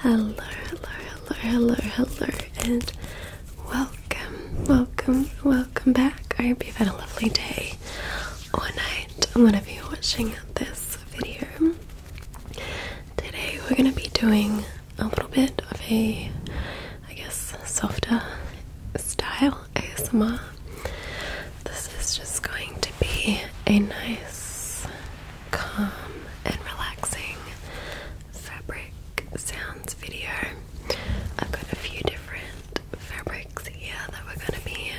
Hello, hello, hello, hello, hello, and welcome, welcome, welcome back. I hope you've had a lovely day or night, I'm going to be watching this video. Today, we're going to be doing a little bit of a I guess, softer style ASMR. This is just going to be a nice, calm, and relaxing fabric sounds video. I've got a few different fabrics here that we're going to be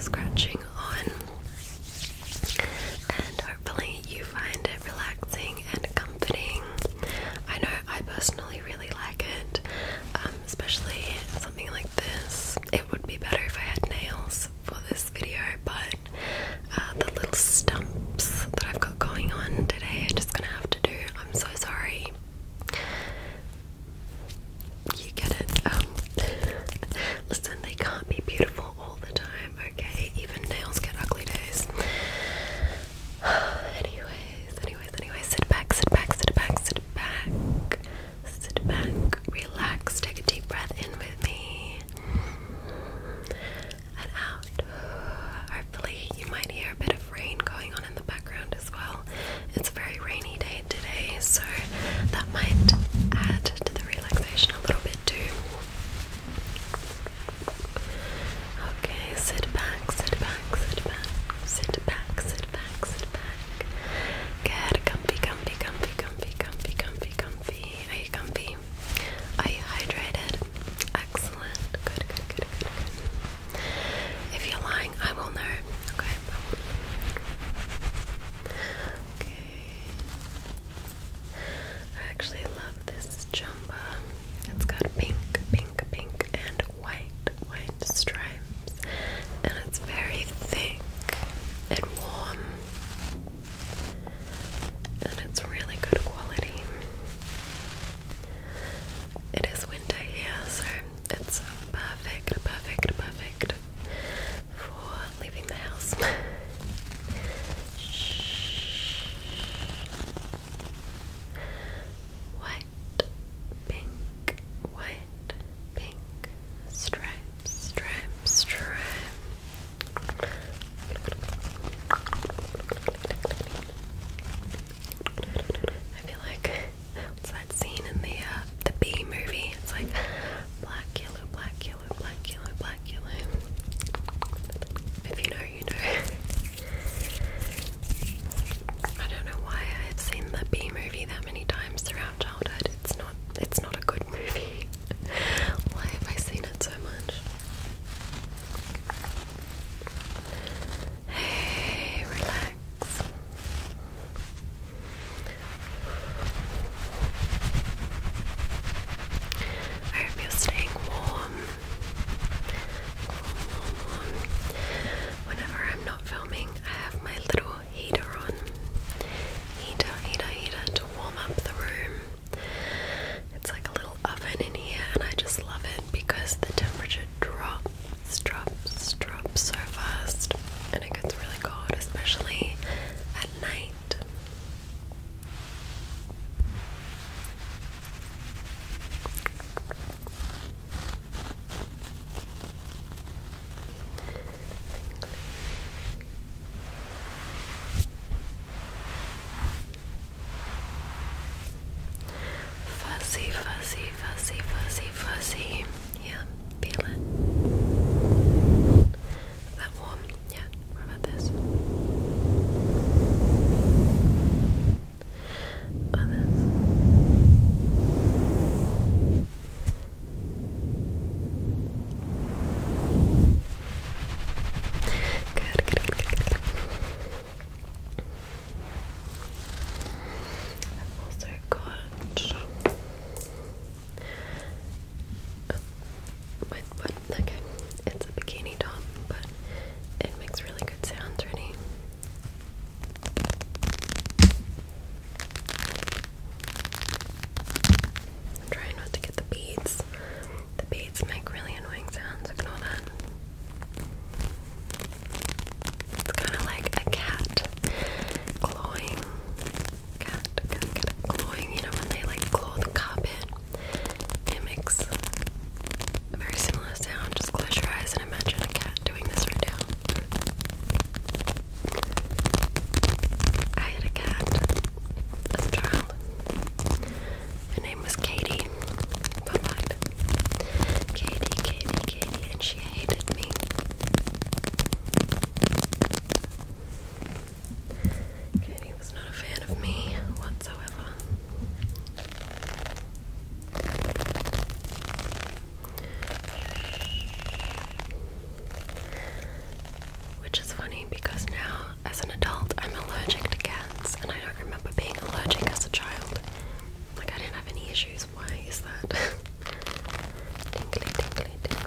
scratching on, and hopefully, you find it relaxing and comforting. I know I personally really, like it, um, especially something like this. It would be better if I had nails for this video, but uh, the little stumps that I've got going on today are just gonna have to do. I'm so sorry. You get it. Um, listen, they can't be beautiful all the time, okay? Even nails get ugly days. anyways, anyways, anyways, sit back, sit back, sit back, sit back, sit back, relax, take a deep breath in with me and out. Hopefully, you might hear a bit of rain going on in the background as well. It's a very rainy day today, so that might add to the relaxation a little bit too. Okay, sit back, sit back, sit back, sit back, sit back, sit back. Good, comfy, comfy, comfy, comfy, comfy, comfy, comfy. Are you comfy? Are you hydrated? Excellent. Good, good, good, good, good. If you're lying, I will know. Okay. Okay. I actually love this jumper. It's got pink, pink, pink, and white, white stripes, and it's very thick and warm, and it's really good quality. It is winter here, so it's perfect, perfect, perfect for leaving the house. white, pink, white, pink, stripes, stripes, stripe. I feel like it's that scene in the uh, the B movie. It's like black, yellow, black, yellow, black, yellow, black, yellow. If you know, you know. I don't know why I have seen the B movie that many times throughout childhood. It's not it's not a good movie. why have I seen it so much? Hey, relax. I hope you're staying warm. Whenever I'm not filming, I have my little heater on. Heater, heater, heater to warm up the room. It's like a little oven in here, and I just love it because the temperature drops, drops, drops so fast, and it gets really cold, especially at night. Fuzzy, fuzzy, fuzzy, fuzzy, fuzzy. Yeah, feel it. Is that warm? Yeah, what about this? Good, good, good, also got oh, but okay, it's a bikini top, but it makes really good sounds, ready? trying not to get the beads. The beads make really annoying sounds, ignore that. It's kind of like a cat clawing. cat, clawing. You know, when they like claw the carpet, it makes a very similar sound. Just close your eyes and imagine a cat doing this right now. I had a cat as a child. Her name was Katie. Fun fact. Katie, Katie, Katie, and she hated me. Katie was not a fan of me whatsoever. Which is funny because now, as an adult, I'm allergic to cats, and I don't remember being allergic as a child. Like, I didn't have any issues. Why is that? tingly, tingly, tingly.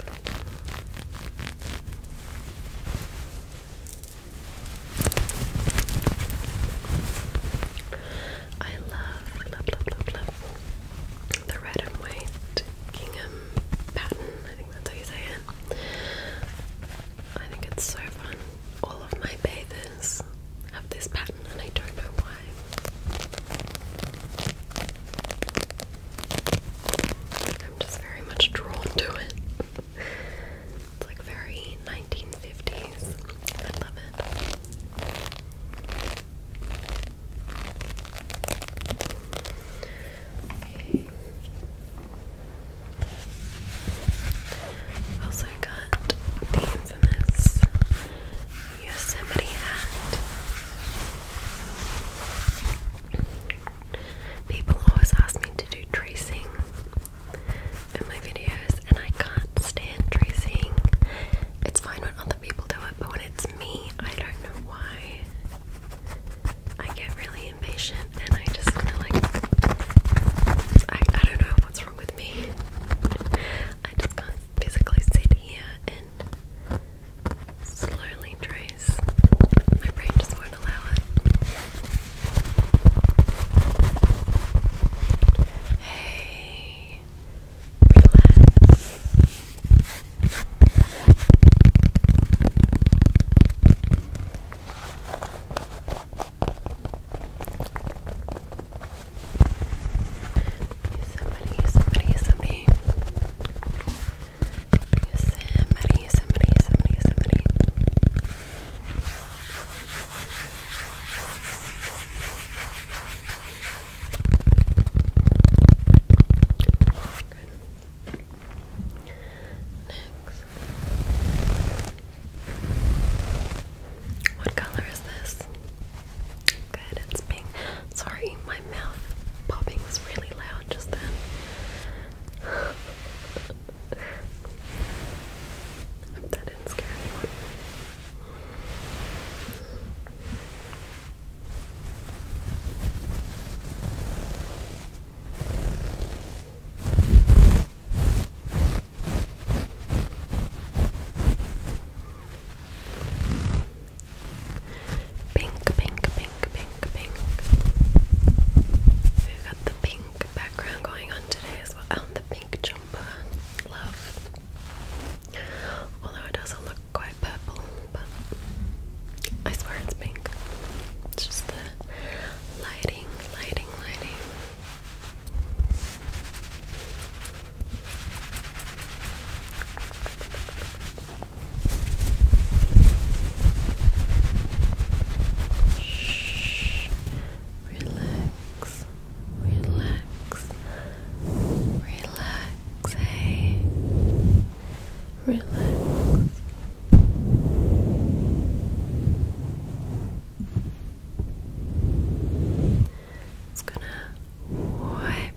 I love, love, love, love, love the red and white gingham pattern. I think that's how you say it. I think it's so fun. All of my bathers have this pattern, and I don't know why. I'm just very much drawn to it. It's like very 1950s. I love it. Also got the infamous Yosemite hat. People always ask me to do tracing in my videos, and I can't stand tracing. It's fine when other people do it, but when it's me, I don't know why. I get really impatient, and I just want to like. I I don't know what's wrong with me. I just can't physically sit here and slowly trace. My brain just won't allow it. Hey, relax. Somebody, somebody, somebody. Somebody, somebody, somebody, somebody. Next. What color is this? Good, it's pink. Sorry, my mouth popping was really loud just then. that didn't scare anyone. Pink, pink, pink, pink, pink. we got the pink background going on today as well. Oh, the pink jar love. Although it doesn't look quite purple, but I swear it's pink. just the lighting, lighting, lighting. Shh. Relax relax, relax, relax, hey, relax. It's gonna wipe,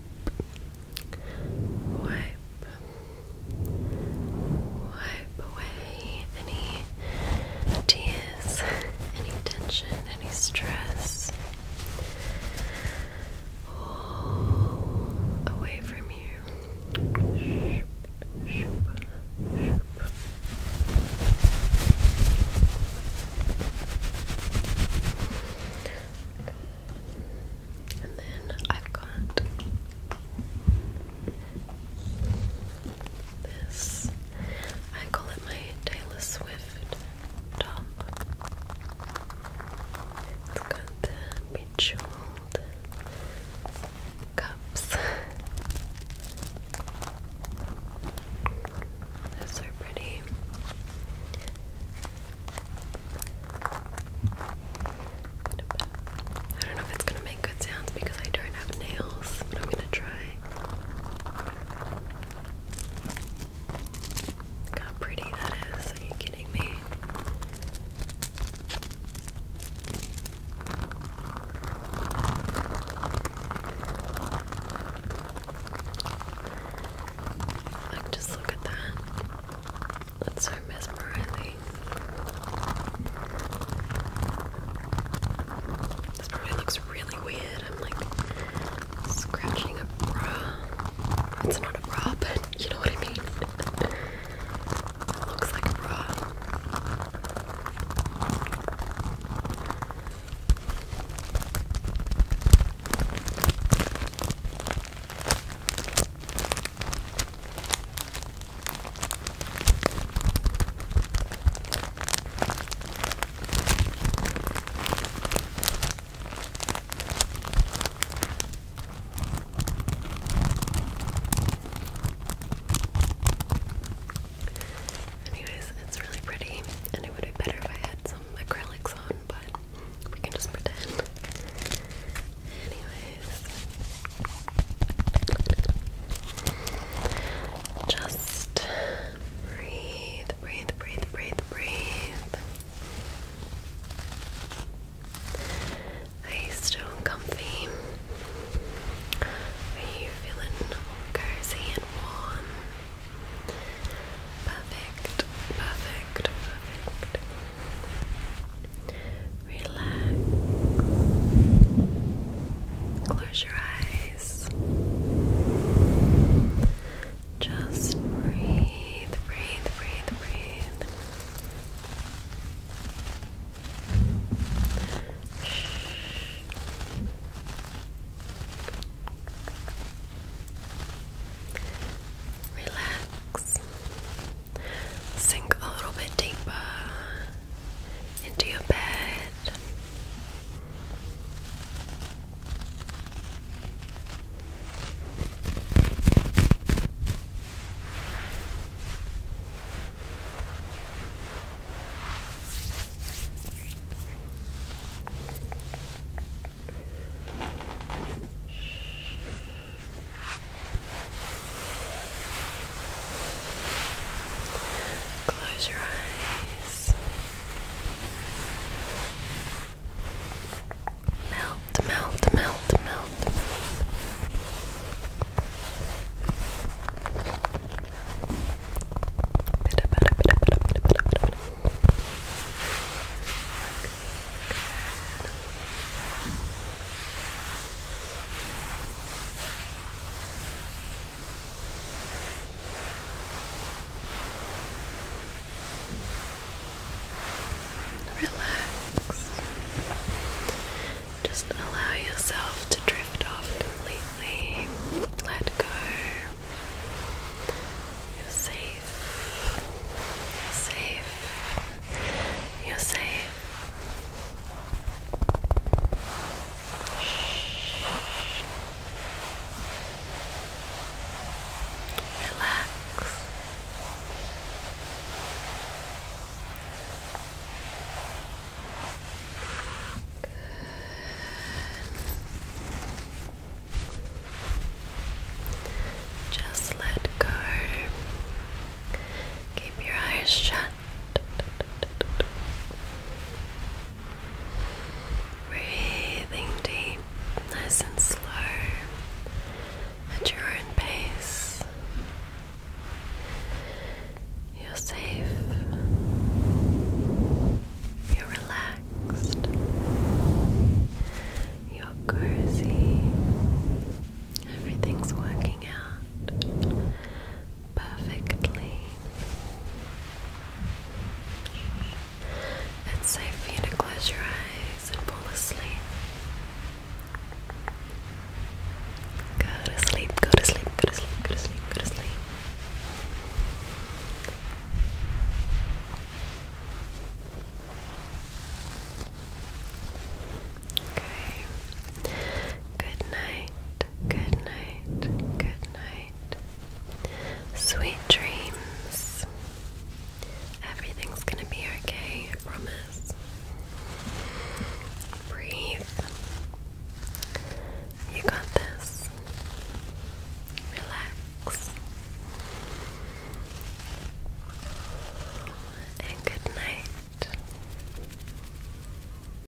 wipe, wipe away any tears, any tension, any stress, all away from you. And then I've got this. I call it my Taylor Swift top. It's got the bejeweled cups. They're pretty. I don't know if it's gonna make good sounds because I don't have nails, but I'm gonna try. Look how pretty that is. Are you kidding me? Like, just look at that. That's so mesmerizing. This probably looks really weird. I'm like scratching a bra. It's not a bra, but you know what I mean. looks like a bra. Anyways, it's really pretty, and it would be better if I had some acrylics on, but we can just pretend. Anyways. Just breathe, breathe, breathe, breathe, breathe. Are you still comfy? Are you feeling cozy and warm? Perfect, perfect, perfect. Relax. Close your eyes. Just breathe, breathe, breathe, breathe. Relax. Sink a little bit deeper into your bed. Close your eyes. Melt, melt, melt, melt. Bit of, bit of, bit of, bit Relax. Just allow yourself to drift off completely. Let go. You're safe. safe. You're safe. Relax. Good. Just let go. Keep your eyes shut. Breathing deep, nice and slow at your own pace. You're safe. You're relaxed. You're cozy. Everything's working out perfectly. It's safe for you to close your eyes and fall asleep. Go to sleep, go to sleep, go to sleep, go to sleep, go to sleep. Okay, Good night, good night, good night. Sweet dreams. Everything's gonna be okay, I promise. Breathe. You got this. Relax. And good night.